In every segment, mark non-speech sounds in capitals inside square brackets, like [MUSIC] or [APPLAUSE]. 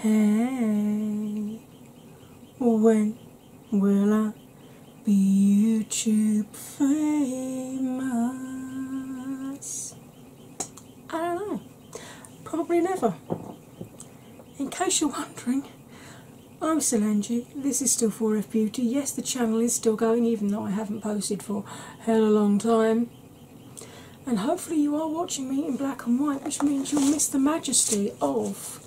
Hey, when will I be you choose? famous? I don't know. Probably never. In case you're wondering, I'm still This is still 4F Beauty. Yes, the channel is still going, even though I haven't posted for hell a long time. And hopefully, you are watching me in black and white, which means you'll miss the majesty of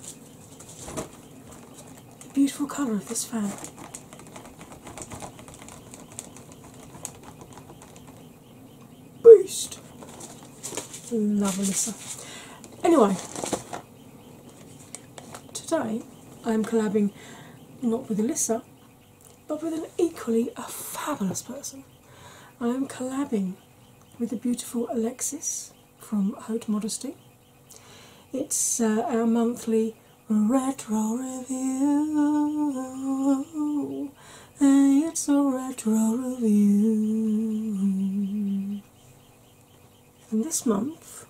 the beautiful colour of this fan. Boost. Love Alyssa. Anyway, today I'm collabing not with Alyssa but with an equally a fabulous person. I am collabing with the beautiful Alexis from Haute Modesty. It's uh, our monthly retro review. Hey, it's a retro review. And this month,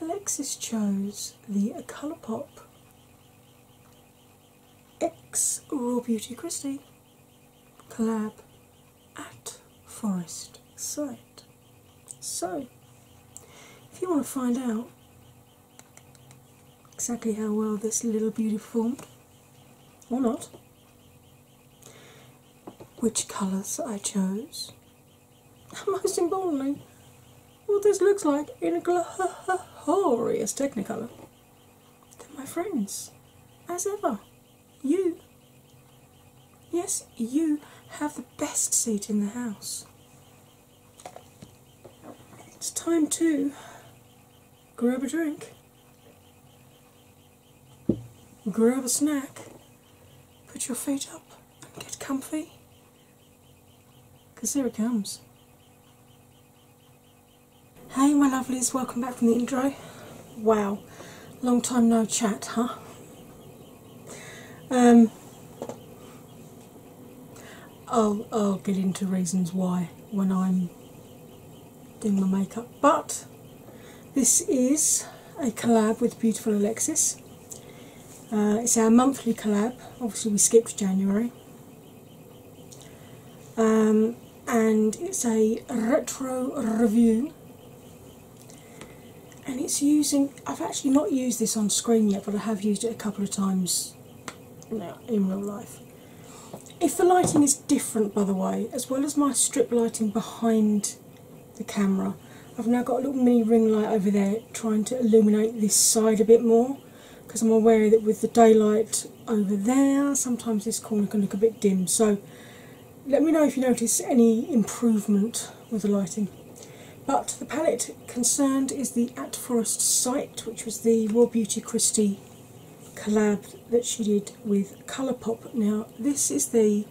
Alexis chose the Colourpop X Raw Beauty Christie collab at Forest Site. So, if you want to find out exactly how well this little beauty formed, or not, which colours I chose, and [LAUGHS] most importantly, what this looks like in glorious technicolour. my friends, as ever. You. Yes, you have the best seat in the house. It's time to grab a drink, grab a snack, put your feet up and get comfy because here it comes. Hey, my lovelies, welcome back from the intro. Wow, long time no chat, huh? Um, I'll, get into reasons why when I'm doing my makeup, but this is a collab with Beautiful Alexis. Uh, it's our monthly collab, obviously, we skipped January. Um, and it's a retro review and it's using I've actually not used this on screen yet, but I have used it a couple of times now in real life. If the lighting is different, by the way, as well as my strip lighting behind the camera, I've now got a little mini ring light over there trying to illuminate this side a bit more because I'm aware that with the daylight over there, sometimes this corner can look a bit dim. So let me know if you notice any improvement with the lighting. But the palette concerned is the At Forest site, which was the War Beauty Christie collab that she did with Colour Pop. Now, this is the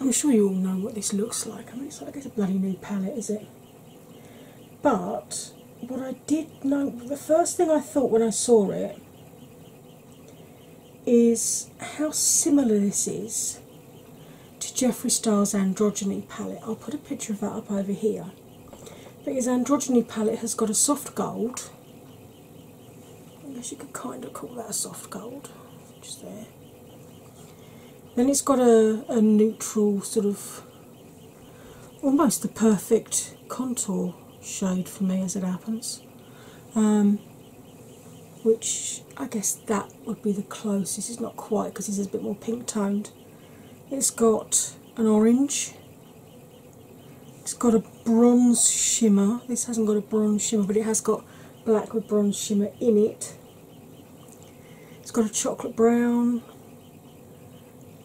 I'm sure you all know what this looks like. I mean, it's like it's a bloody new palette, is it? But what I did know, the first thing I thought when I saw it is how similar this is to Jeffree Star's Androgyny palette. I'll put a picture of that up over here. But his Androgyny palette has got a soft gold. I guess you could kind of call that a soft gold, just there. Then it's got a, neutral, sort of almost the perfect contour shade for me as it happens. Um, which I guess that would be the close. This is not quite because this is a bit more pink toned. It's got an orange. It's got a bronze shimmer. This hasn't got a bronze shimmer, but it has got black with bronze shimmer in it. It's got a chocolate brown.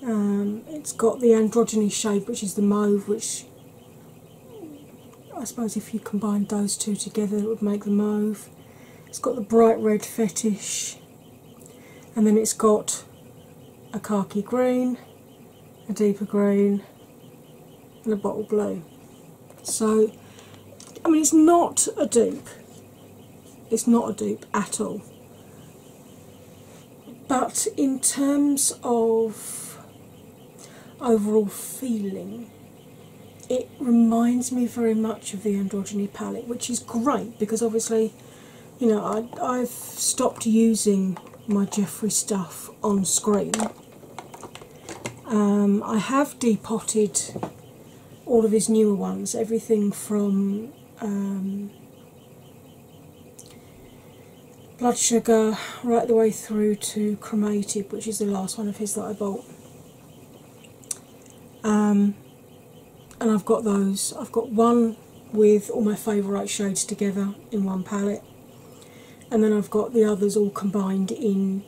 Um, it's got the androgyny shade, which is the mauve, which I suppose if you combined those two together, it would make the mauve. It's got the bright red fetish, and then it's got a khaki green, a deeper green, and a bottle blue. So, I mean, it's not a dupe, it's not a dupe at all. But in terms of overall feeling, it reminds me very much of the androgyny palette, which is great because obviously, you know, I, have stopped using my Jeffrey stuff on screen. Um, I have depotted all of his newer ones, everything from um, Blood Sugar right the way through to Cremated, which is the last one of his that I bought. Um, and I've got those. I've got one with all my favourite shades together in one palette, and then I've got the others all combined in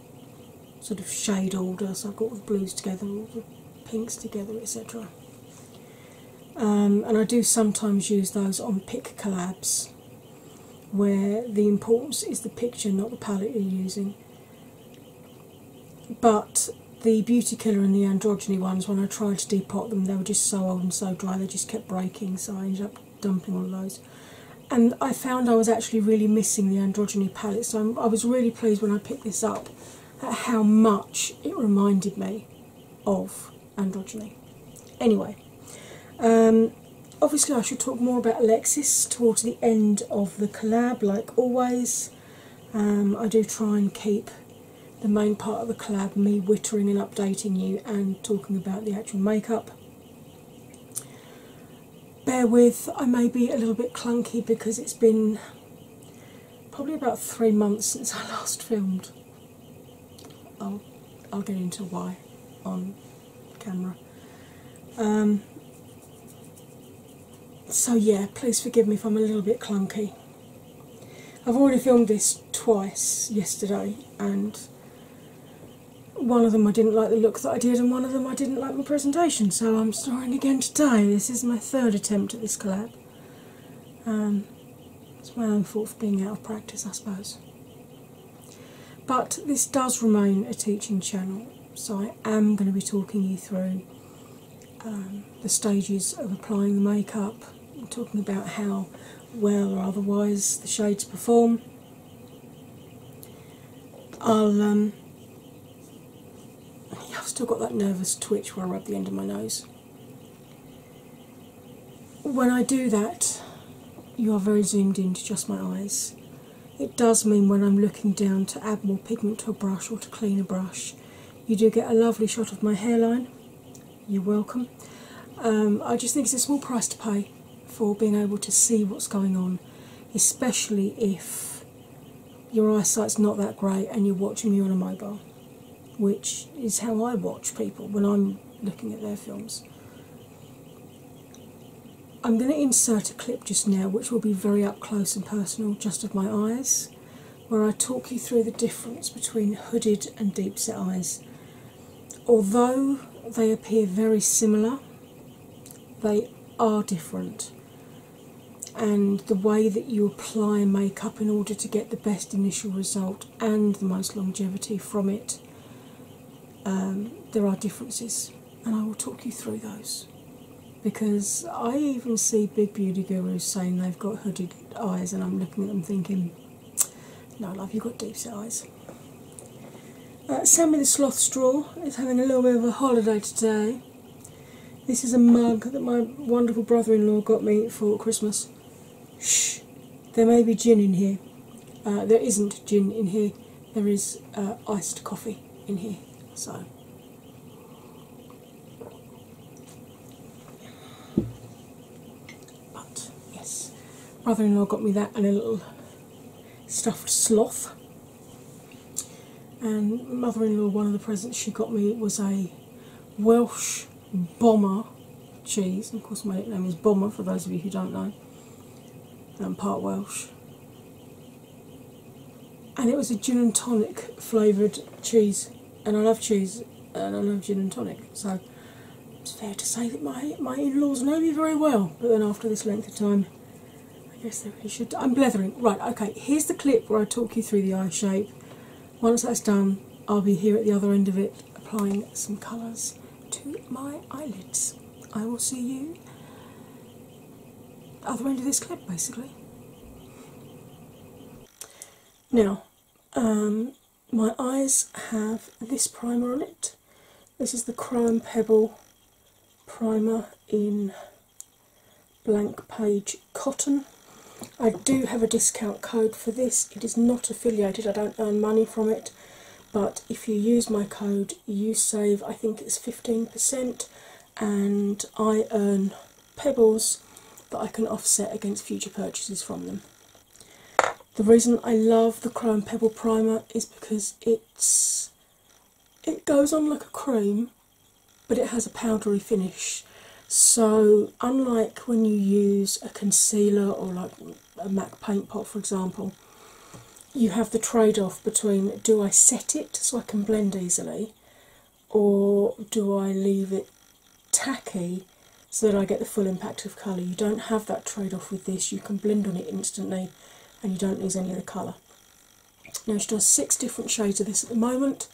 sort of shade order. So I've got all the blues together, all the pinks together, etc. Um, and I do sometimes use those on pick collabs where the importance is the picture, not the palette you're using but the Beauty Killer and the Androgyny ones, when I tried to depot them, they were just so old and so dry, they just kept breaking, so I ended up dumping all those. And I found I was actually really missing the Androgyny palette, so i was really pleased when I picked this up at how much it reminded me of Androgyny. Anyway, um, obviously, I should talk more about Alexis towards the end of the collab, like always. Um, I do try and keep the main part of the collab me whittering and updating you and talking about the actual makeup. Bear with, I may be a little bit clunky because it's been probably about three months since [LAUGHS] I last filmed. I'll, I'll get into why on camera. Um, so, yeah, please forgive me if I'm a little bit clunky. I've already filmed this twice yesterday, and one of them I didn't like the look that I did, and one of them I didn't like my presentation, so I'm starting again today. This is my third attempt at this collab. Um, it's my own fault for being out of practice, I suppose. But this does remain a teaching channel, so, I am going to be talking you through um, the stages of applying the makeup, talking about how well or otherwise the shades perform. I'll, um, I've still got that nervous twitch where I rub the end of my nose. When I do that, you are very zoomed into just my eyes. It does mean when I'm looking down to add more pigment to a brush or to clean a brush, you do get a lovely shot of my hairline. You're welcome. Um, I just think it's a small price to pay for being able to see what's going on, especially if your eyesight's not that great and you're watching me on a mobile, which is how I watch people when I'm looking at their films. I'm going to insert a clip just now, which will be very up close and personal, just of my eyes, where I talk you through the difference between hooded and deep set eyes. Although they appear very similar, they are different, and the way that you apply makeup in order to get the best initial result and the most longevity from it, um, there are differences and I will talk you through those because I even see big beauty gurus saying they've got hooded eyes, and I'm looking at them thinking, No, love, you've got deep set eyes. Uh, Sammy the Sloth Straw is having a little bit of a holiday today. This is a mug that my wonderful brother in law got me for Christmas. Shh, there may be gin in here. Uh, there isn't gin in here, there is uh, iced coffee in here. So but yes, brother in law got me that and a little stuffed sloth. And mother in law, one of the presents she got me was a Welsh bomber cheese. Of course, my name is Bomber for those of you who don't know. I'm part Welsh and it was a gin and tonic flavoured cheese, and I love cheese and I love gin and tonic, so it's fair to say that my my in-laws know me very well. But then after this length of time, I guess they really should. I'm blethering. Right, okay. Here's the clip where I talk you through the eye shape. Once that's done, I'll be here at the other end of it applying some colours to my eyelids. I will see you other end of this clip basically. Now, um, my eyes have this primer on it. This is the Chrome Pebble primer in blank page cotton. I do have a discount code for this. It is not affiliated, I don't earn money from it, but if you use my code, you save I think it's 15% and I earn pebbles that I can offset against future purchases from them. The reason I love the Chrome Pebble Primer is because it's it goes on like a cream but it has a powdery finish. So unlike when you use a concealer or like a MAC paint pot for example, you have the trade off between do I set it so I can blend easily, or do I leave it tacky so that I get the full impact of colour? You don't have that trade off with this, you can blend on it instantly and you don't lose any of the colour. Now, she does six different shades of this at the moment.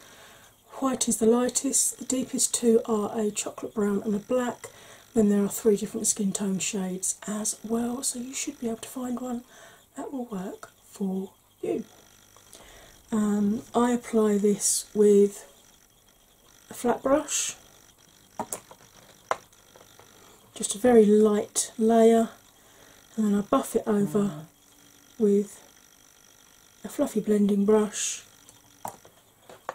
White is the lightest, the deepest two are a chocolate brown and a black. Then there are three different skin tone shades as well, so you should be able to find one that will work for you. Um, I apply this with a flat brush, just a very light layer, and then I buff it over mm. with a fluffy blending brush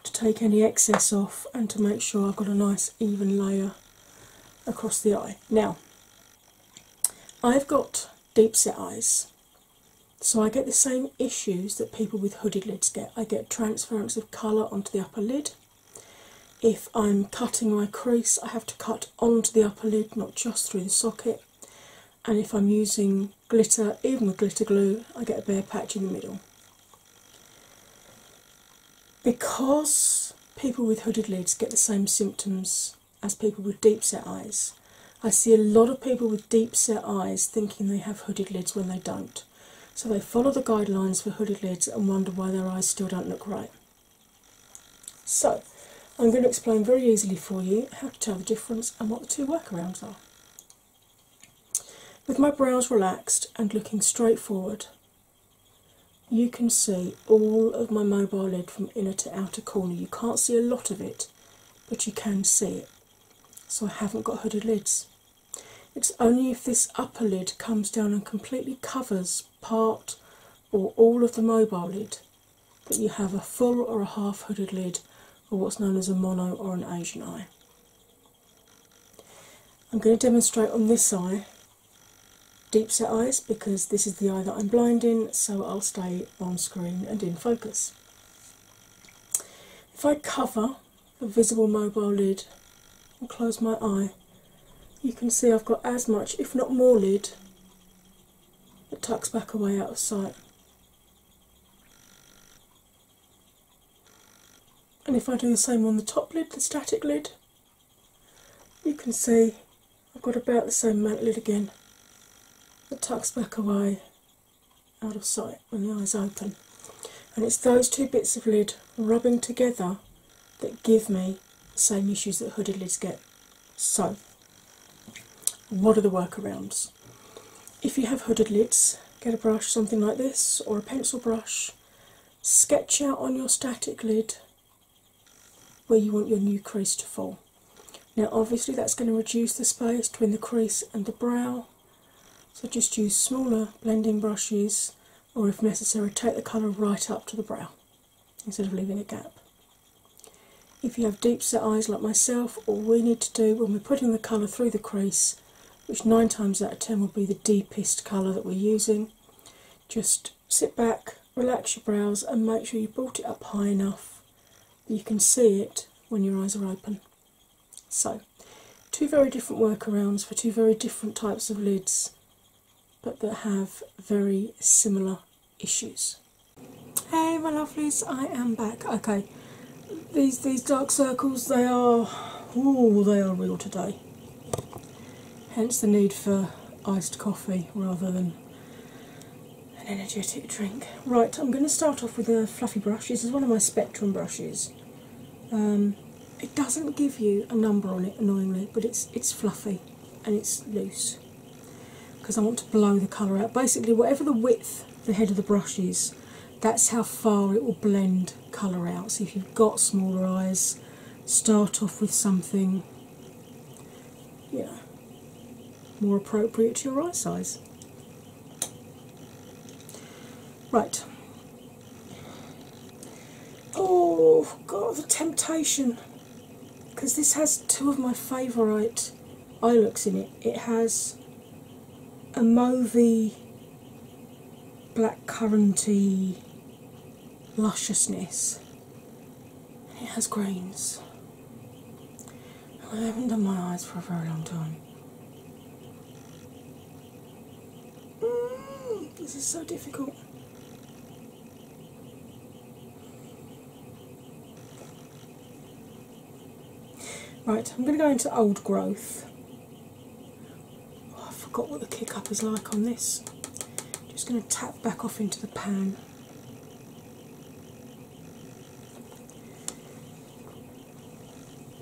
to take any excess off and to make sure I've got a nice even layer across the eye. Now, I've got deep set eyes, so I get the same issues that people with hooded lids get. I get transference of colour onto the upper lid. If I'm cutting my crease, I have to cut onto the upper lid, not just through the socket. And if I'm using glitter, even with glitter glue, I get a bare patch in the middle. Because people with hooded lids get the same symptoms as people with deep set eyes. I see a lot of people with deep set eyes thinking they have hooded lids when they don't. So they follow the guidelines for hooded lids and wonder why their eyes still don't look right. So I'm going to explain very easily for you how to tell the difference and what the two workarounds are. With my brows relaxed and looking straight forward, you can see all of my mobile lid from inner to outer corner. You can't see a lot of it, but you can see it. So I haven't got hooded lids. It's only if this upper lid comes down and completely covers part or all of the mobile lid that you have a full or a half hooded lid or what's known as a mono or an Asian eye. I'm going to demonstrate on this eye deep set eyes because this is the eye that I'm blinding, so I'll stay on screen and in focus. If I cover the visible mobile lid and close my eye, you can see I've got as much, if not more, lid that tucks back away out of sight. And if I do the same on the top lid, the static lid, you can see I've got about the same mantlid again that tucks back away out of sight when the eyes open. And it's those two bits of lid rubbing together that give me the same issues that hooded lids get. So, what are the workarounds? If you have hooded lids, get a brush, something like this, or a pencil brush, sketch out on your static lid where you want your new crease to fall. Now, obviously, that's going to reduce the space between the crease and the brow, so just use smaller blending brushes, or if necessary, take the colour right up to the brow instead of leaving a gap. If you have deep set eyes like myself, all we need to do when we're putting the colour through the crease, which nine times out of ten will be the deepest colour that we're using, just sit back, relax your brows and make sure you brought it up high enough you can see it when your eyes are open. So, two very different workarounds for two very different types of lids, but that have very similar issues. Hey, my lovelies, I am back. Okay, these these dark circles they are oh they are real today. Hence the need for iced coffee rather than an energetic drink. Right, I'm going to start off with a fluffy brush. This is one of my Spectrum brushes. Um, it doesn't give you a number on it, annoyingly, but it's it's fluffy and it's loose because I want to blow the colour out. Basically, whatever the width the head of the brush is, that's how far it will blend colour out. So if you've got smaller eyes, start off with something yeah, more appropriate to your eye size. Right. Oh, God, the temptation! Because this has two of my favourite eye looks in it. It has a mauvey, black curranty lusciousness, it has greens. I haven't done my eyes for a very long time. Mm, this is so difficult. Right, I'm going to go into old growth. Oh, I forgot what the kick up is like on this. Just going to tap back off into the pan.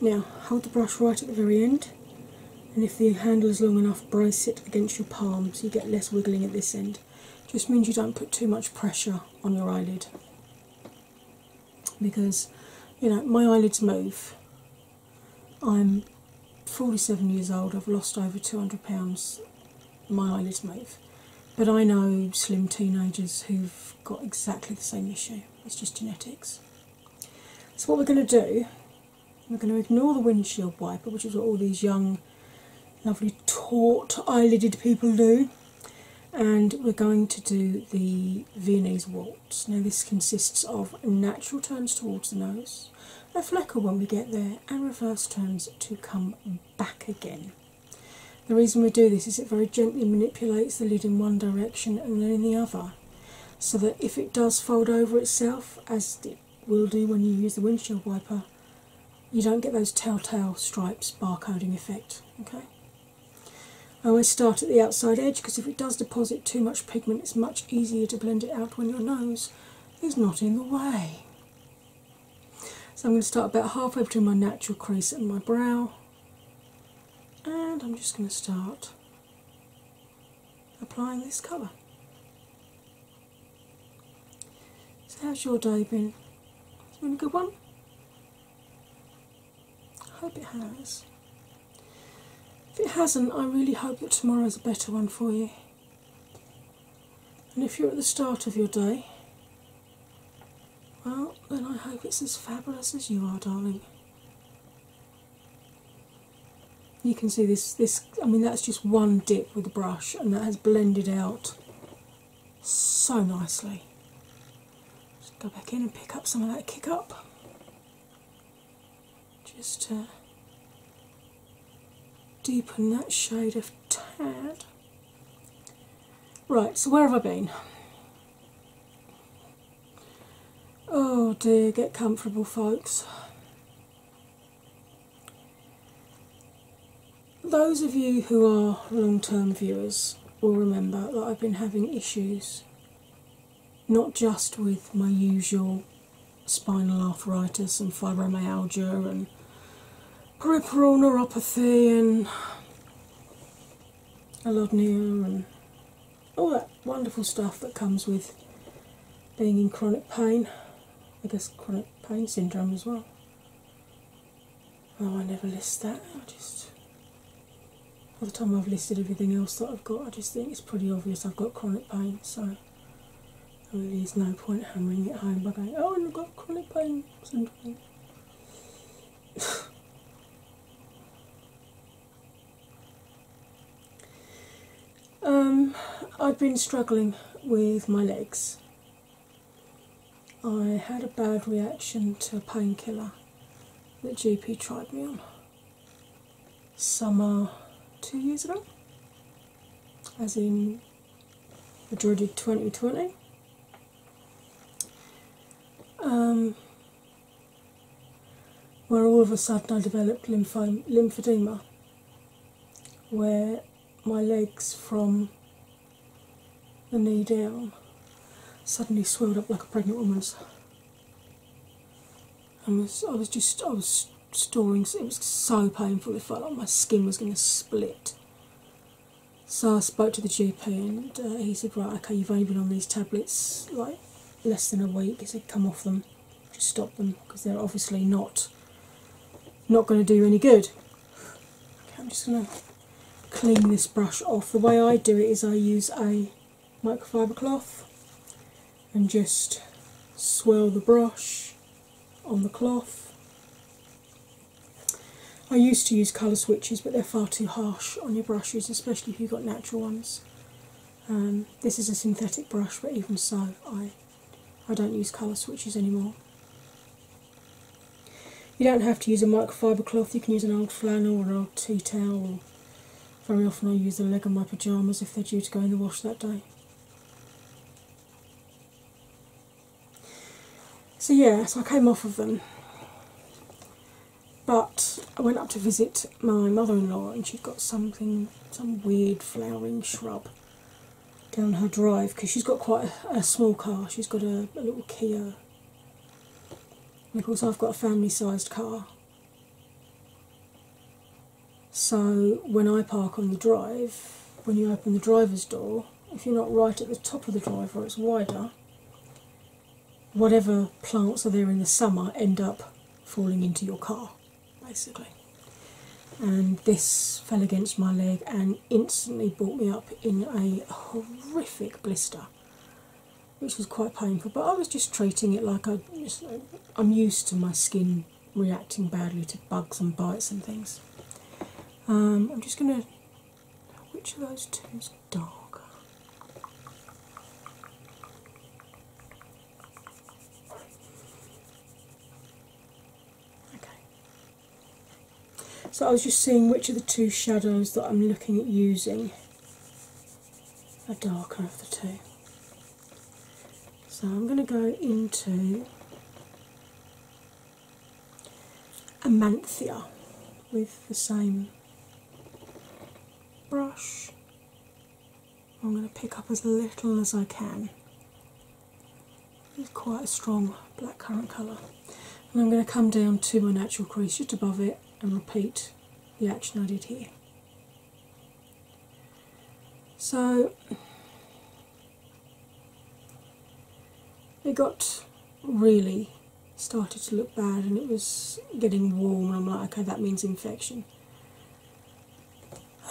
Now hold the brush right at the very end, and if the handle is long enough, brace it against your palm so you get less wiggling at this end. Just means you don't put too much pressure on your eyelid because you know my eyelids move. I'm 47 years old, I've lost over 200 pounds. My eyelids move, but I know slim teenagers who've got exactly the same issue. It's just genetics. So, what we're going to do, we're going to ignore the windshield wiper, which is what all these young, lovely, taut eyelidded people do, and we're going to do the Viennese waltz. Now, this consists of natural turns towards the nose a flicker when we get there, and reverse turns to come back again. The reason we do this is it very gently manipulates the lid in one direction and then in the other, so that if it does fold over itself, as it will do when you use the windshield wiper, you don't get those telltale stripes barcoding effect. Okay. always start at the outside edge because if it does deposit too much pigment, it's much easier to blend it out when your nose is not in the way. So I'm going to start about halfway between my natural crease and my brow, and I'm just going to start applying this colour. So, how's your day been? been a good one? I hope it has. If it hasn't, I really hope that tomorrow is a better one for you. And if you're at the start of your day, well, then I hope it's as fabulous as you are, darling. You can see this, this I mean, that's just one dip with the brush, and that has blended out so nicely. Just go back in and pick up some of that kick up. Just uh, deepen that shade of tad. Right, so where have I been? Oh dear, get comfortable, folks. Those of you who are long term viewers will remember that I've been having issues not just with my usual spinal arthritis and fibromyalgia and peripheral neuropathy and alodnia and all that wonderful stuff that comes with being in chronic pain. I guess chronic pain syndrome as well. Oh, I never list that. I just, by the time I've listed everything else that I've got, I just think it's pretty obvious I've got chronic pain. So Oh, there's no point hammering it home by going, oh, I've got chronic pain syndrome. [LAUGHS] um, I've been struggling with my legs. I had a bad reaction to a painkiller that GP tried me on summer two years ago, as in the Georgie 2020. Um, where all of a sudden I developed lymphedema, where my legs from the knee down suddenly swelled up like a pregnant woman's. I was, I was just, I was storing it was so painful it felt like my skin was going to split so i spoke to the gp and uh, he said right okay you've only been on these tablets like less than a week he said come off them just stop them because they're obviously not not going to do any good i'm just going to clean this brush off the way i do it is i use a microfiber cloth and just swirl the brush on the cloth. I used to use colour switches, but they're far too harsh on your brushes, especially if you've got natural ones. Um, this is a synthetic brush, but even so, I I don't use colour switches anymore. You don't have to use a microfiber cloth. You can use an old flannel or an old tea towel. very often, I use the leg of my pyjamas if they're due to go in the wash that day. So, yeah, so I came off of them. But I went up to visit my mother in law, and she'd got something, some weird flowering shrub down her drive because she's got quite a, small car. She's got a, a little Kia. And of course, I've got a family sized car. So when I park on the drive, when you open the driver's door, if you're not right at the top of the drive or it's wider, whatever plants are there in the summer end up falling into your car, basically. And this fell against my leg and instantly brought me up in a horrific blister, which was quite painful. But I was just treating it like I, am used to my skin reacting badly to bugs and bites and things. Um, I'm just going to. Which of those two is darker? Okay. So I was just seeing which of the two shadows that I'm looking at using are darker of the two. So I'm going to go into Amanthia with the same brush. I'm going to pick up as little as I can. It's quite a strong black current colour. And I'm going to come down to my natural crease just above it and repeat the action I did here. So it got really started to look bad and it was getting warm, and I'm like, okay, that means infection.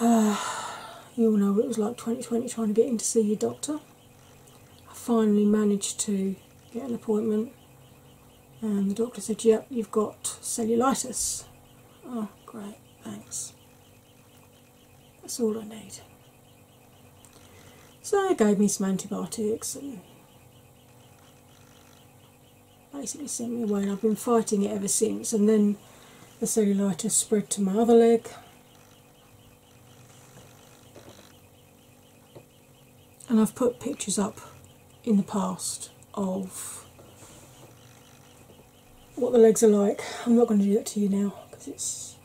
[SIGHS] you all know it was like 2020 trying to get in to see your doctor. I finally managed to get an appointment, and the doctor said, Yep, you've got cellulitis. Oh, great, thanks. That's all I need. So they gave me some antibiotics and basically sent me away and I've been fighting it ever since and then the cellulitis spread to my other leg and I've put pictures up in the past of what the legs are like. I'm not going to do that to you now because it's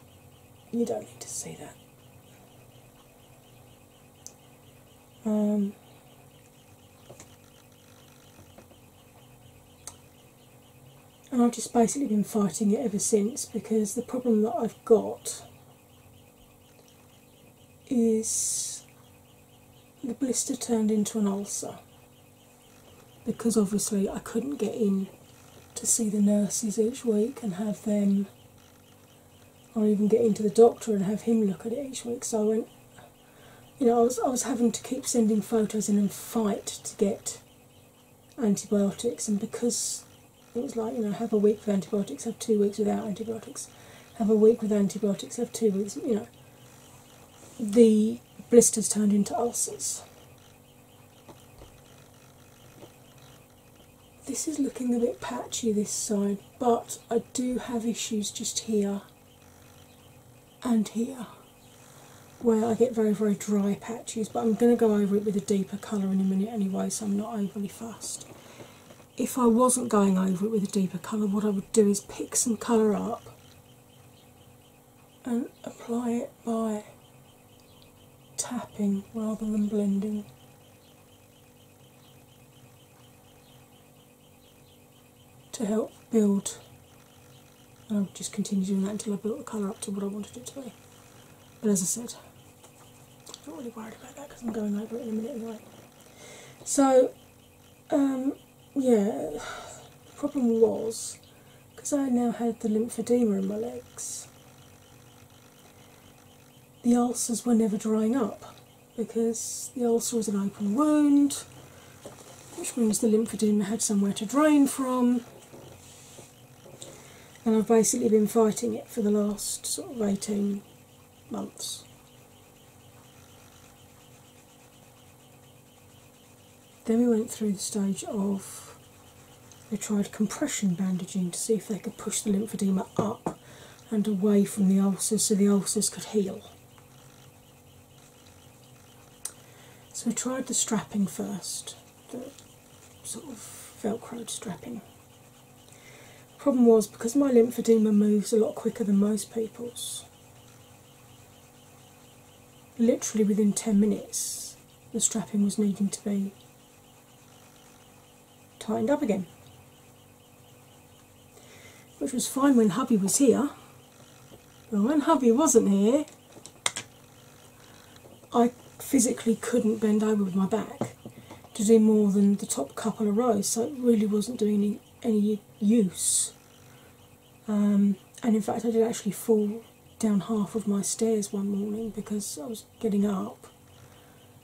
you don't need to see that. Um, and I've just basically been fighting it ever since because the problem that I've got is the blister turned into an ulcer because obviously I couldn't get in to see the nurses each week and have them, or even get into the doctor and have him look at it each week. So I went, you know, I was I was having to keep sending photos in and fight to get antibiotics, and because it was like you know, have a week with antibiotics, have two weeks without antibiotics, have a week with antibiotics, have two weeks, you know. The blisters turned into ulcers, this is looking a bit patchy this side, but I do have issues just here and here where I get very, very dry patches, but I'm going to go over it with a deeper colour in a minute anyway, so I'm not overly fussed. If I wasn't going over it with a deeper colour, what I would do is pick some colour up and apply it by tapping rather than blending. To help build, and I'll just continue doing that until I built the colour up to what I wanted it to be. But as I said, I'm not really worried about that because I'm going over it in a minute anyway. So, um, yeah, [SIGHS] problem was because I now had the lymphedema in my legs. The ulcers were never drying up because the ulcer was an open wound, which means the lymphedema had somewhere to drain from. And I've basically been fighting it for the last sort of 18 months. Then we went through the stage of they tried compression bandaging to see if they could push the lymphedema up and away from the ulcers so the ulcers could heal. So we tried the strapping first, the sort of velcroed strapping. Problem was because my lymphedema moves a lot quicker than most people's, literally within 10 minutes, the strapping was needing to be tightened up again. Which was fine when hubby was here, but when hubby wasn't here, I physically couldn't bend over with my back to do more than the top couple of rows, so it really wasn't doing any, any use um, and in fact, I did actually fall down half of my stairs one morning because I was getting up,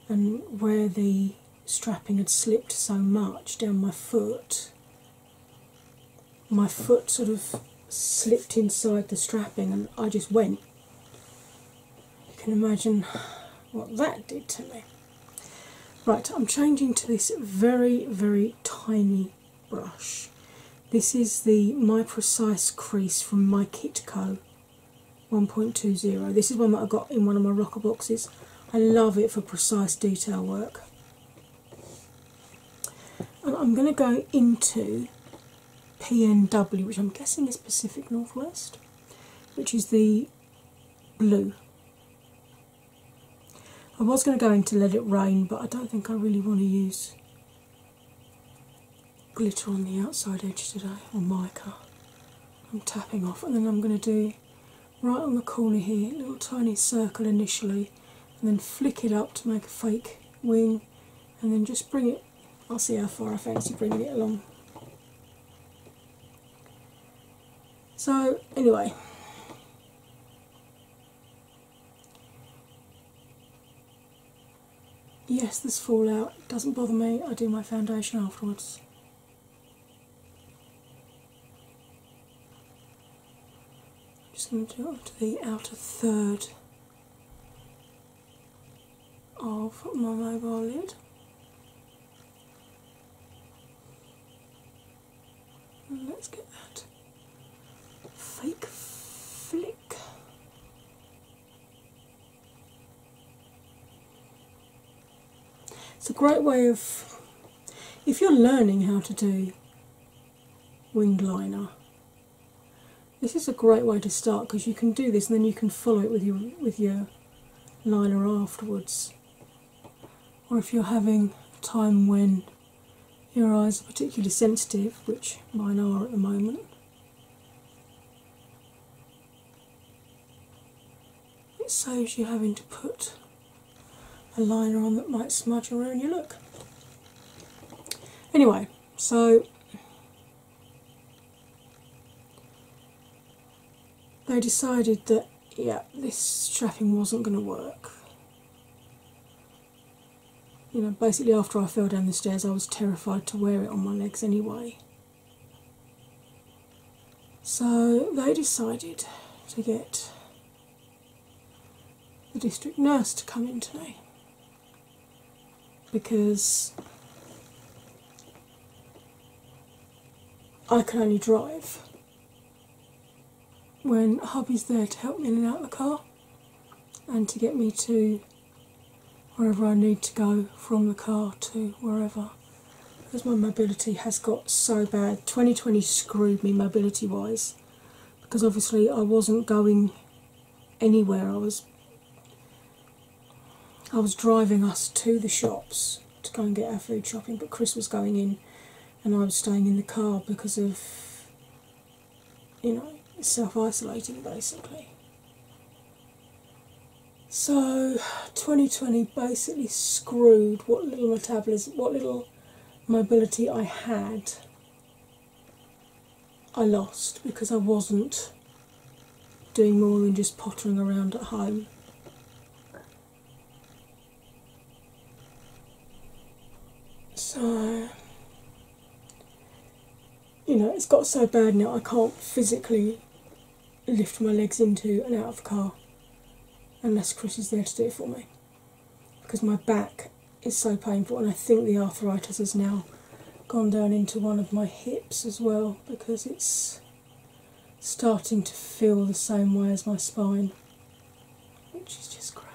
and where the strapping had slipped so much down my foot, my foot sort of slipped inside the strapping, and I just went. You can imagine what that did to me. Right, I'm changing to this very, very tiny brush. This is the My Precise crease from My Kitco 1.20. This is one that I got in one of my rocker boxes. I love it for precise detail work. And I'm going to go into PNW, which I'm guessing is Pacific Northwest, which is the blue. I was going to go into Let It Rain, but I don't think I really want to use glitter on the outside edge today, on my car. I'm tapping off, and then I'm going to do right on the corner here, little tiny circle initially, and then flick it up to make a fake wing, and then just bring it. I'll see how far I fancy bringing it along. So, anyway, Yes, this fallout doesn't bother me. I do my foundation afterwards. I'm just going to do up to the outer third of my mobile lid. let's get that fake flick. It's a great way of, if you're learning how to do wing liner, this is a great way to start because you can do this and then you can follow it with your with your liner afterwards. Or if you're having time when your eyes are particularly sensitive, which mine are at the moment. It saves you having to put a liner on that might smudge around your look. Anyway, so they decided that, yeah, this strapping wasn't going to work you know, basically after I fell down the stairs, I was terrified to wear it on my legs anyway. So they decided to get the district nurse to come in today because I can only drive when hubby's there to help me in and out of the car and to get me to wherever I need to go from the car to wherever. Because my mobility has got so bad. 2020 screwed me mobility wise because obviously I wasn't going anywhere. I was I was driving us to the shops to go and get our food shopping, but Chris was going in and I was staying in the car because of you know, self isolating basically. So 2020 basically screwed what little metabolism, what little mobility I had, I lost because I wasn't doing more than just pottering around at home. So you know, it's got so bad now I can't physically lift my legs into and out of the car unless Chris is there to do it for me because my back is so painful and I think the arthritis has now gone down into one of my hips as well because it's starting to feel the same way as my spine, which is just great.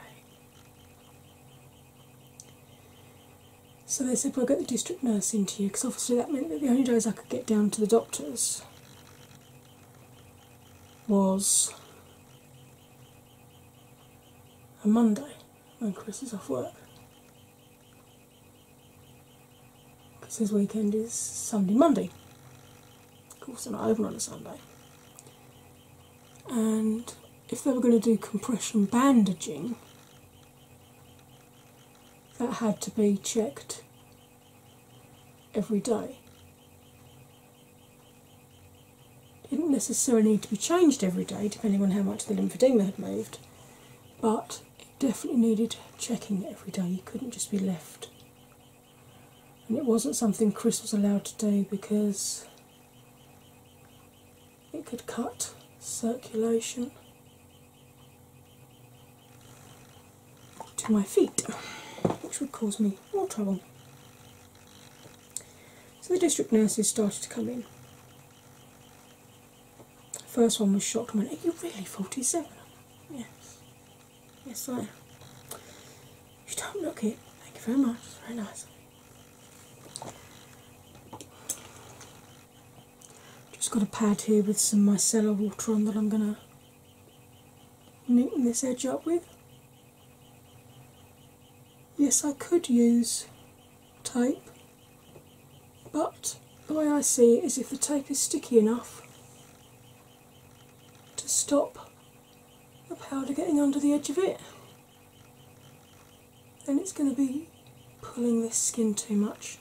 So they said, "Well, get the district nurse into you because obviously that meant that the only days I could get down to the doctor's was a Monday when Chris is off work. Because his weekend is Sunday, Monday. Of course, they're not open on a Sunday and if they were going to do compression bandaging, that had to be checked every day. It didn't necessarily need to be changed every day, depending on how much the lymphedema had moved, but it definitely needed checking every day. You couldn't just be left. And it wasn't something Chris was allowed to do because it could cut circulation to my feet, which would cause me more trouble. So the district nurses started to come in. The first one was shocked and went, Are you really 47? Yes. Yes, I am. You don't look it. Thank you very much. very nice. Just got a pad here with some micellar water on that I'm going to neaten this edge up with. Yes, I could use tape, but the way I see it is if the tape is sticky enough to stop the powder getting under the edge of it, then it's going to be pulling this skin too much.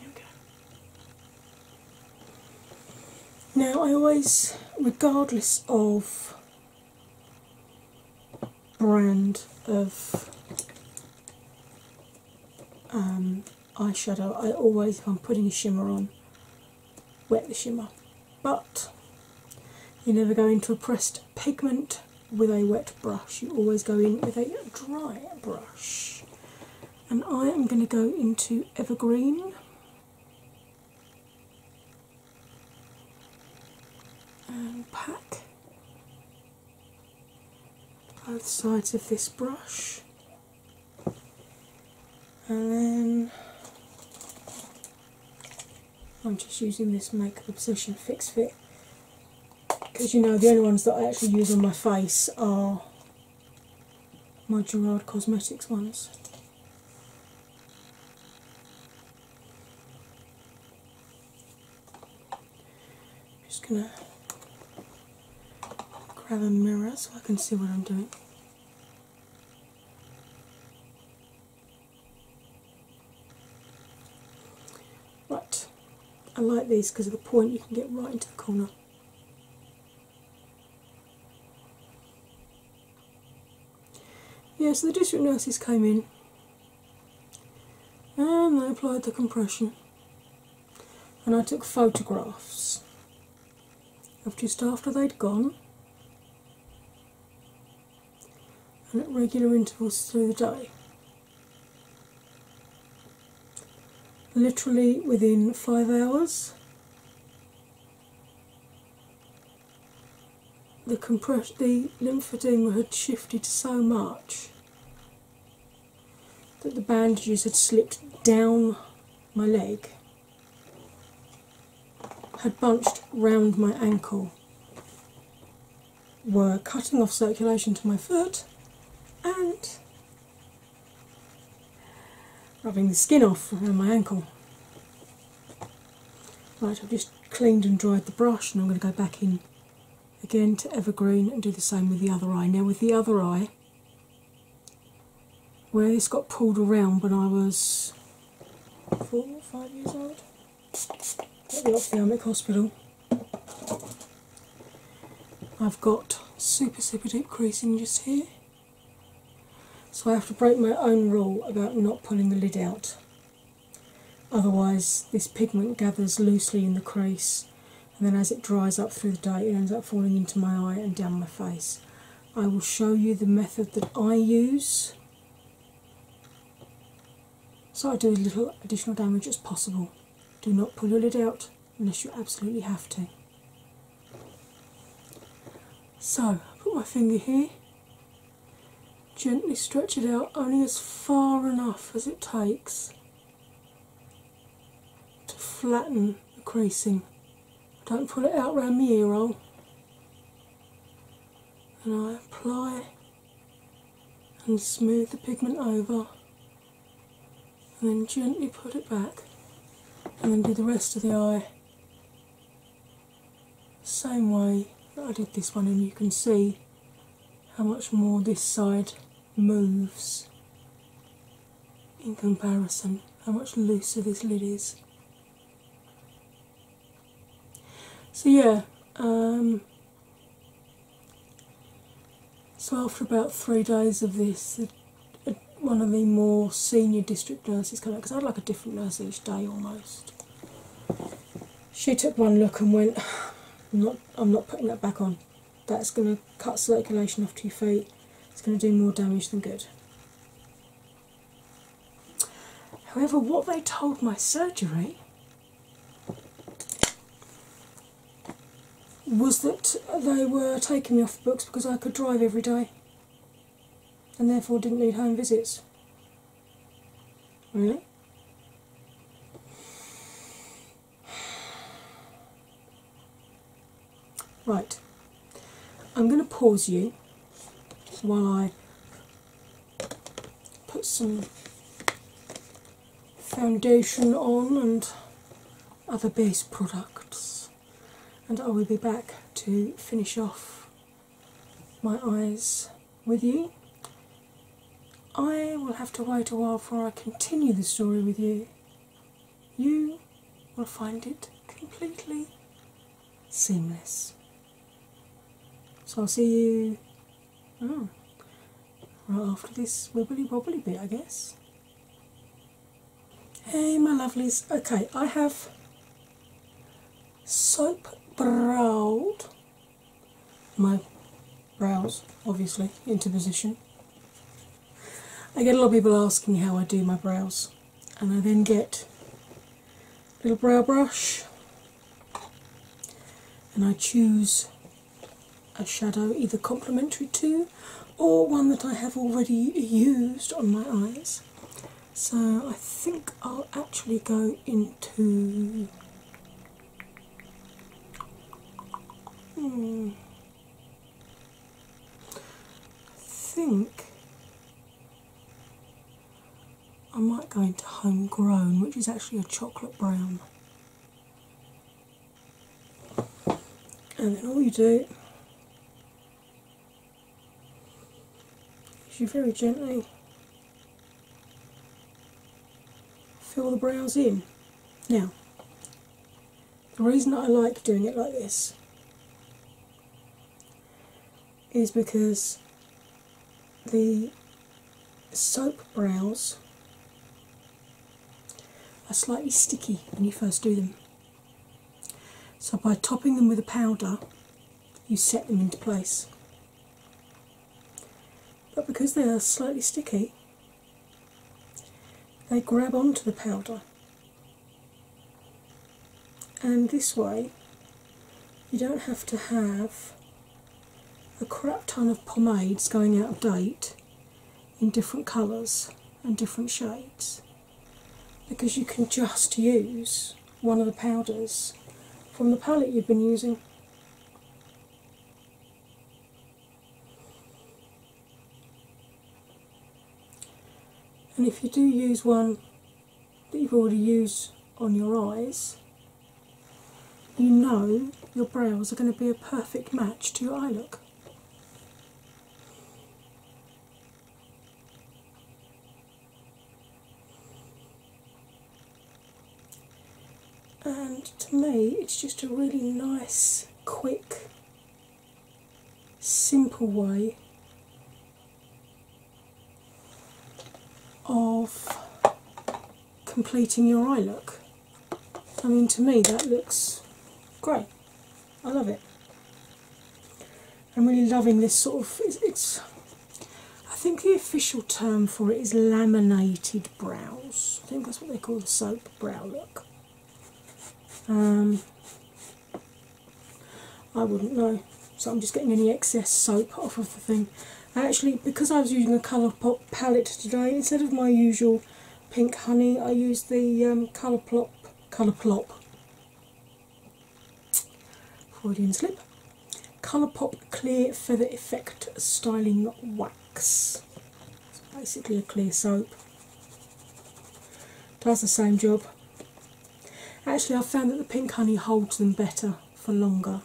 There Now, I always, regardless of brand of um, eyeshadow, I always, I'm putting a shimmer on, wet the shimmer. But you never go into a pressed pigment with a wet brush, you always go in with a dry brush. And I am going to go into Evergreen. And pat both sides of this brush and then I'm just using this Make Obsession Fix Fit because you know the only ones that I actually use on my face are my Gerard Cosmetics ones. I'm just gonna grab a mirror so I can see what I'm doing. But I like these because of the point you can get right into the corner. Yeah, so the district nurses came in and they applied the compression, and I took photographs just after they'd gone, and at regular intervals through the day. Literally within five hours, the compress lymphedema had shifted so much that the bandages had slipped down my leg had bunched round my ankle were cutting off circulation to my foot and rubbing the skin off around my ankle. Right, I've just cleaned and dried the brush, and I'm going to go back in again to Evergreen and do the same with the other eye. Now, with the other eye, where this got pulled around when I was four or five years old at the ophthalmic hospital. I've got super super deep creasing just here. So I have to break my own rule about not pulling the lid out. Otherwise this pigment gathers loosely in the crease and then as it dries up through the day it ends up falling into my eye and down my face. I will show you the method that I use so I do as little additional damage as possible. Do not pull your lid out unless you absolutely have to. So, put my finger here, gently stretch it out only as far enough as it takes to flatten the creasing don't pull it out around the ear roll. And I apply and smooth the pigment over and then gently put it back and then do the rest of the eye same way that I did this one and you can see how much more this side moves in comparison how much looser this lid is. So, yeah, um, so after about three days of this, one of the more senior district nurses came out because I'd like a different nurse each day almost. She took one look and went, I'm not, I'm not putting that back on. That's going to cut circulation off to your feet it's going to do more damage than good. However, what they told my surgery was that they were taking me off the books because I could drive every day and therefore didn't need home visits. Really? Right, I'm going to pause you while I put some foundation on and other base products, and I will be back to finish off my eyes with you. I will have to wait a while before I continue the story with you you will find it completely seamless. So I'll see you hmm, right after this wibbly wobbly bit, I guess. Hey, my lovelies. Okay, I have soap browed my brows obviously into position I get a lot of people asking how I do my brows, and I then get a little brow brush and I choose a shadow either complementary to or one that I have already used on my eyes. So I think I'll actually go into. Hmm, I think I might go into homegrown, which is actually a chocolate brown. And then all you do is you very gently fill the brows in. Now, the reason I like doing it like this is because the soap brows are slightly sticky when you first do them. So, by topping them with a powder, you set them into place. But because they are slightly sticky, they grab onto the powder and this way you don't have to have a crap ton of pomades going out of date in different colours and different shades because you can just use one of the powders from the palette you've been using. And if you do use one that you've already used on your eyes, you know your brows are going to be a perfect match to your eye look. And to me, it's just a really nice, quick simple way of completing your eye look. I mean, to me, that looks great. I love it. I'm really loving this sort of. It's, I think the official term for it is laminated brows. I think that's what they call the soap brow look. Um, I wouldn't know. So I'm just getting any excess soap off of the thing. actually, because I was using a colour pop palette today, instead of my usual pink honey, I used the um, colour plop, colour plop, Freudian slip, colour pop clear feather effect styling wax. It's basically a clear soap. Does the same job. Actually, i found that the pink honey holds them better for longer,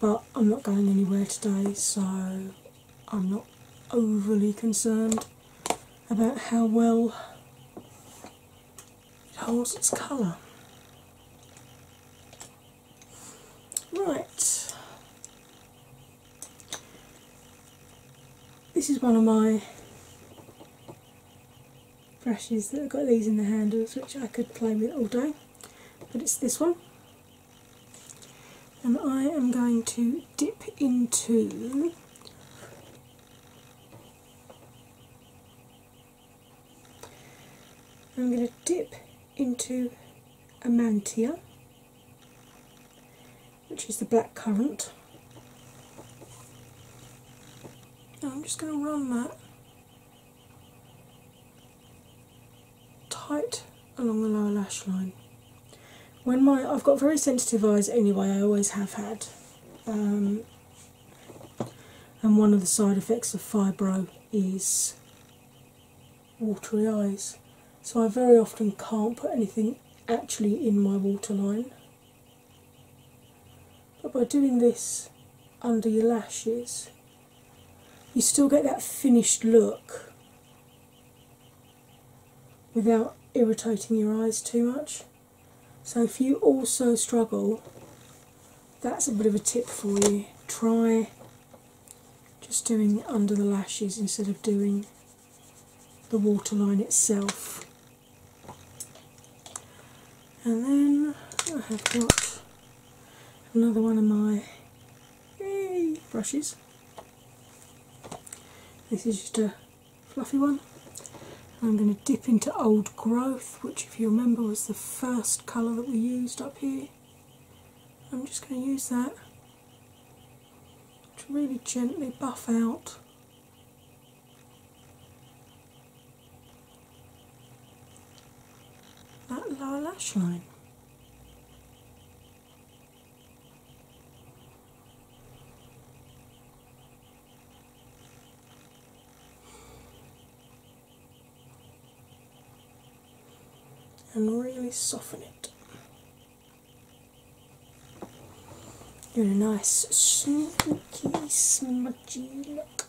but I'm not going anywhere today, so I'm not overly concerned about how well it holds its colour. Right, this is one of my brushes that I've got these in the handles which I could play with all day, but it's this one. And I am going to dip into I'm going to dip into Amantia which is the black currant. I'm just going to run that tight along the lower lash line. When my I've got very sensitive eyes anyway, I always have had, um, and one of the side effects of fibro is watery eyes. So I very often can't put anything actually in my waterline. But by doing this under your lashes, you still get that finished look without irritating your eyes too much. So, if you also struggle, that's a bit of a tip for you. Try just doing under the lashes instead of doing the waterline itself. And then I have got another one of my brushes. This is just a fluffy one. I'm going to dip into Old Growth, which, if you remember, was the first colour that we used up here. I'm just going to use that to really gently buff out that lower lash line. And really soften it you Doing a nice smoky, smudgy look.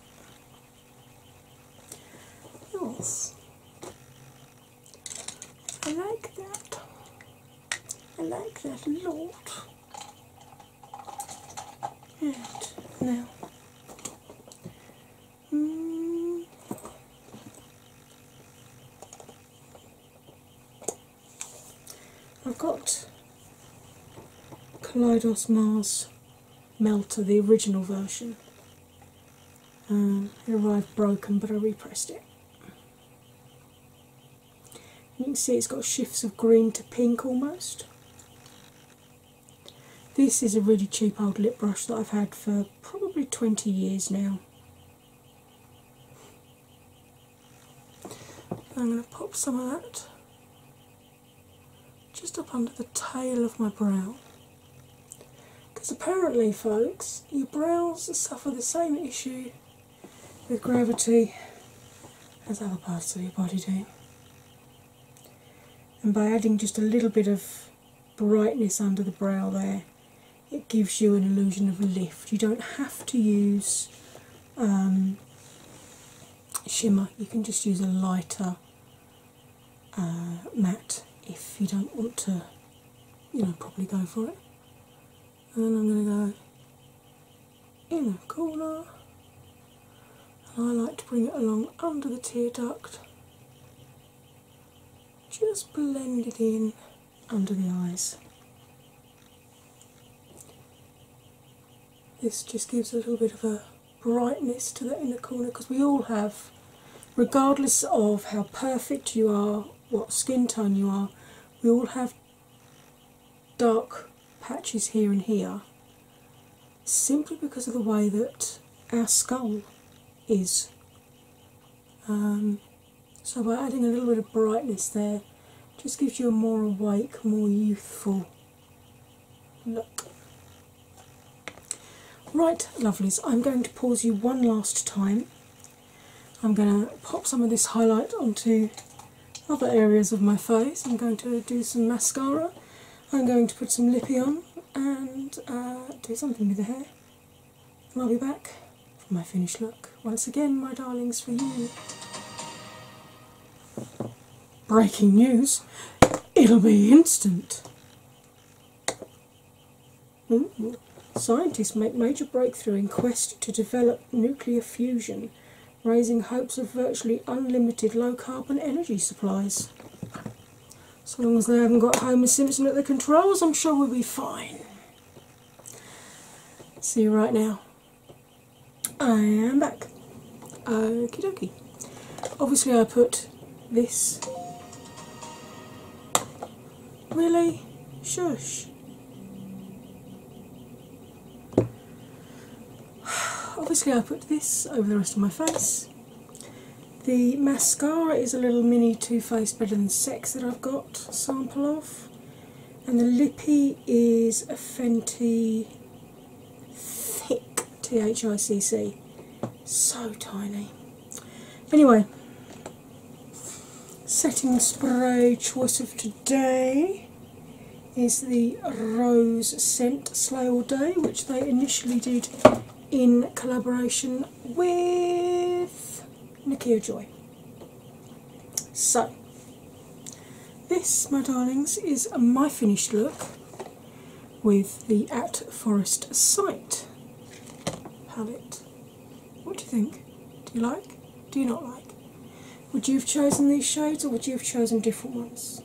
Nice. I like that. I like that a lot. And now, mm. I've got Kaleidos Mars Melter, the original version. Um, it arrived broken, but I repressed it. You can see it's got shifts of green to pink almost. This is a really cheap old lip brush that I've had for probably 20 years now. I'm going to pop some of that just up under the tail of my brow. Because apparently, folks, your brows suffer the same issue with gravity as other parts of your body do. And by adding just a little bit of brightness under the brow there, it gives you an illusion of lift. You don't have to use um, shimmer, you can just use a lighter uh, matte if you don't want to, you know, probably go for it. And then I'm going to go in the corner, and I like to bring it along under the tear duct, just blend it in under the eyes. This just gives a little bit of a brightness to the inner corner because we all have, regardless of how perfect you are, what skin tone you are, we all have dark patches here and here simply because of the way that our skull is. Um, so, by adding a little bit of brightness there, just gives you a more awake, more youthful look. Right, lovelies, I'm going to pause you one last time. I'm going to pop some of this highlight onto other areas of my face. I'm going to do some mascara, I'm going to put some lippy on, and uh, do something with the hair. And I'll be back for my finished look. Once again, my darlings, for you. Breaking news it'll be instant. Scientists make major breakthrough in quest to develop nuclear fusion, raising hopes of virtually unlimited low carbon energy supplies. As long as they haven't got Homer Simpson at the controls, I'm sure we'll be fine. See you right now. I'm back. Okie dokey. Obviously, I put this. Really? Shush. Obviously, I put this over the rest of my face. The mascara is a little mini Too Faced Better Than Sex that I've got sample of and the lippy is a Fenty thick T H I C C. So tiny. Anyway, setting spray choice of today is the Rose Scent Slay All Day, which they initially did in collaboration with Nikia Joy. So, this, my darlings, is my finished look with the At Forest Sight palette. What do you think? Do you like? Do you not like? Would you have chosen these shades or would you have chosen different ones?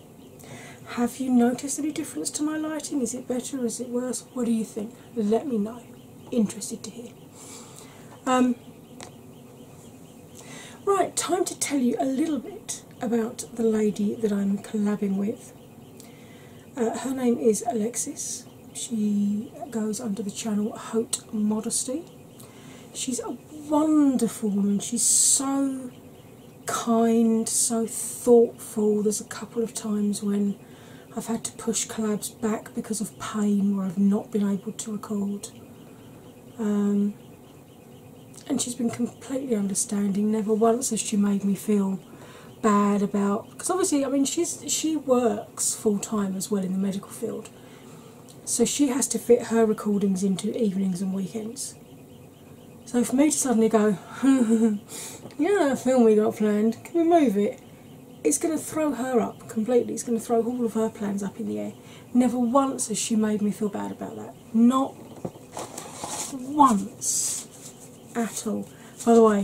Have you noticed any difference to my lighting? Is it better? Is it worse? What do you think? Let me know. Interested to hear. Um, Right, time to tell you a little bit about the lady that I'm collabing with. Uh, her name is Alexis. She goes under the channel Haute Modesty. She's a wonderful woman. She's so kind, so thoughtful. There's a couple of times when I've had to push collabs back because of pain where I've not been able to record. Um, and she's been completely understanding. Never once has she made me feel bad about because obviously I mean she's she works full time as well in the medical field. So she has to fit her recordings into evenings and weekends. So for me to suddenly go, [LAUGHS] you know that film we got planned, can we move it? it's going to throw her up completely. It's going to throw all of her plans up in the air. Never once has she made me feel bad about that. Not once at all. By the way,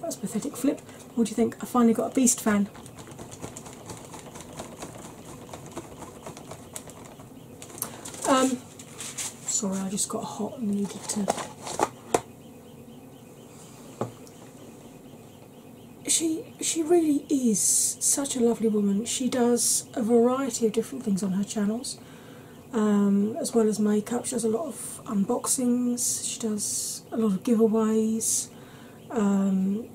that's a pathetic flip. What do you think? I finally got a beast fan. Um, sorry, I just got hot and needed to she she really is such a lovely woman. She does a variety of different things on her channels, um, as well as makeup. She does a lot of unboxings. She does a lot of giveaways. Um,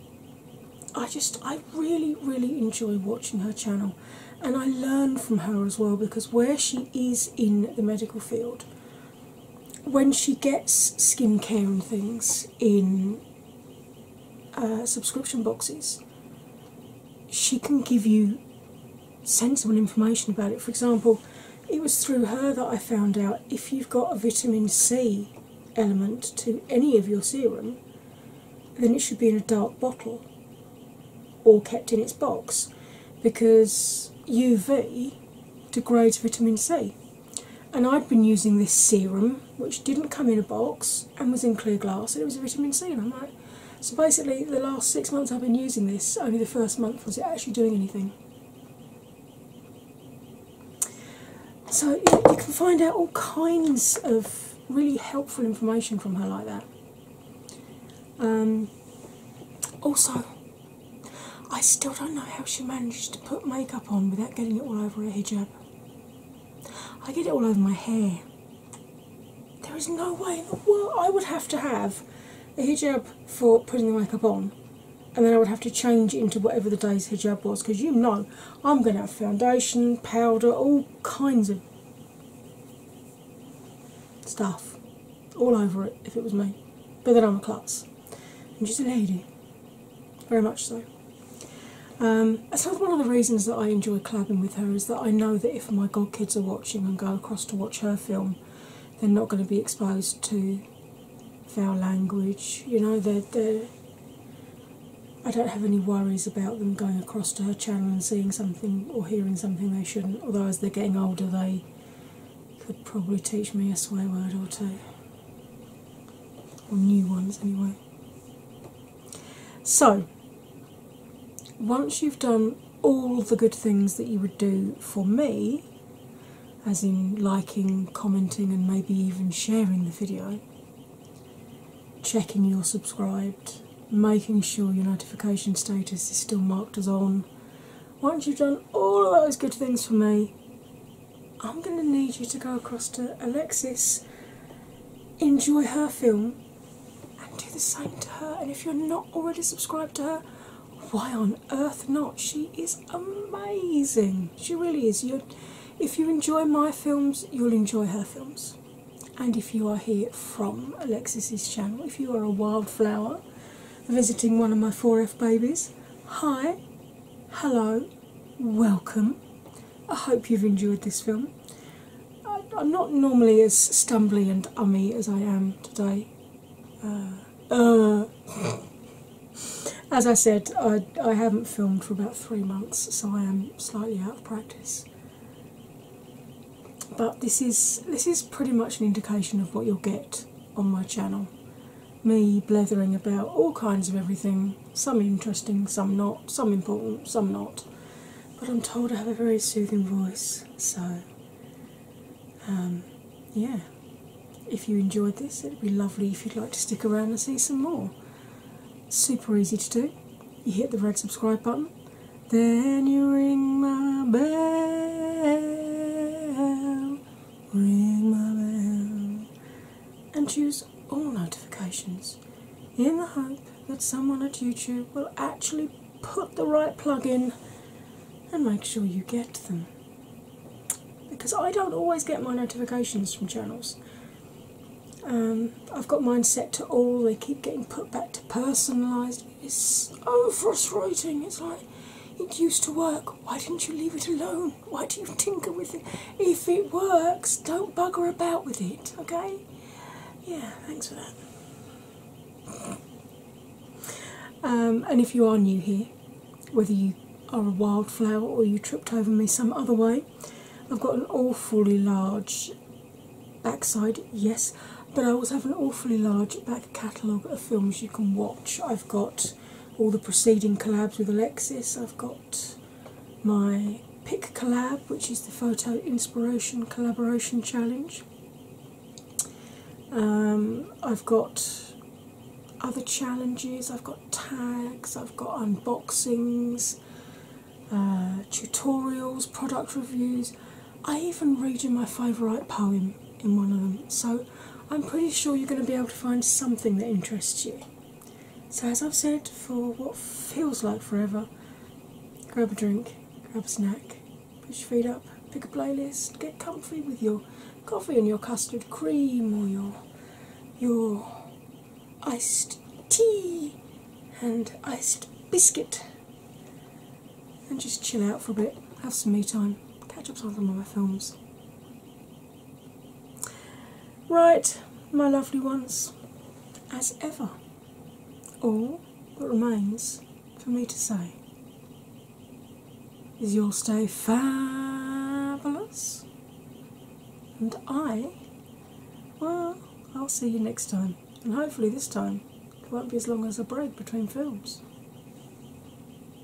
I just I really really enjoy watching her channel, and I learn from her as well because where she is in the medical field, when she gets skincare and things in uh, subscription boxes, she can give you sensible information about it. For example, it was through her that I found out if you've got a vitamin C element to any of your serum, then it should be in a dark bottle or kept in its box because UV degrades vitamin C and i have been using this serum which didn't come in a box and was in clear glass it was a vitamin C and I'm like so basically the last six months I've been using this, only the first month was it actually doing anything. So you, can find out all kinds of really helpful information from her like that. Um, also, I still don't know how she managed to put makeup on without getting it all over her hijab. I get it all over my hair. There is no way in the world I would have to have a hijab for putting the makeup on, and then I would have to change into whatever the day's hijab was because you know I'm going to have foundation, powder, all kinds of stuff all over it if it was me. But then I'm a klutz she's a lady, very much so. that's um, one of the reasons that I enjoy collabing with her is that I know that if my godkids are watching and go across to watch her film, they're not going to be exposed to foul language. You know, I don't have any worries about them going across to her channel and seeing something or hearing something they shouldn't. Although as they're getting older, they could probably teach me a swear word or two, or new ones anyway. So, once you've done all the good things that you would do for me, as in liking, commenting, and maybe even sharing the video, checking you're subscribed, making sure your notification status is still marked as on. Once you've done all of those good things for me, I'm going to need you to go across to Alexis, enjoy her film, and do the same to her. And if you're not already subscribed to her, why on earth not? She is amazing. She really is. if you enjoy my films, you'll enjoy her films. And if you are here from Alexis's channel, if you are a wildflower visiting one of my 4F babies, Hi, hello, welcome. I hope you've enjoyed this film. I'm not normally as stumbly and ummy as I am today. Uh, uh. As I said, I, I haven't filmed for about three months, so I am slightly out of practice. But this is this is pretty much an indication of what you'll get on my channel me blathering about all kinds of everything, some interesting, some not, some important, some not. But I'm told I have a very soothing voice, so um, yeah. If you enjoyed this, it'd be lovely if you'd like to stick around and see some more. Super easy to do. You hit the red subscribe button, then you ring my bell ring my bell, and choose all notifications in the hope that someone at YouTube will actually put the right plug in and make sure you get them. Because I don't always get my notifications from channels. Um, I've got mine set to all, they keep getting put back to personalised. It's so frustrating. It's like it used to work why didn't you leave it alone? Why do you tinker with it? If it works, don't bugger about with it, okay? Yeah, thanks for that. Um, and if you are new here, whether you are a wildflower or you tripped over me some other way, I've got an awfully large backside, yes, but I also have an awfully large back catalogue of films you can watch. I've got all the preceding collabs with Alexis. I've got my pick collab, which is the photo inspiration collaboration challenge. Um, I've got other challenges. I've got tags. I've got unboxings, uh, tutorials, product reviews. I even read you my favourite poem in one of them. So I'm pretty sure you're going to be able to find something that interests you. So, as I've said for what feels like forever, grab a drink, grab a snack, push your feet up, pick a playlist, get comfy with your coffee and your custard cream or your your iced tea and iced biscuit and just chill out for a bit, have some me time, catch up on some of my films, Right, my lovely ones, as ever, all that remains for me to say is you'll stay fabulous, and I, well, I'll see you next time, and hopefully this time it won't be as long as a break between films.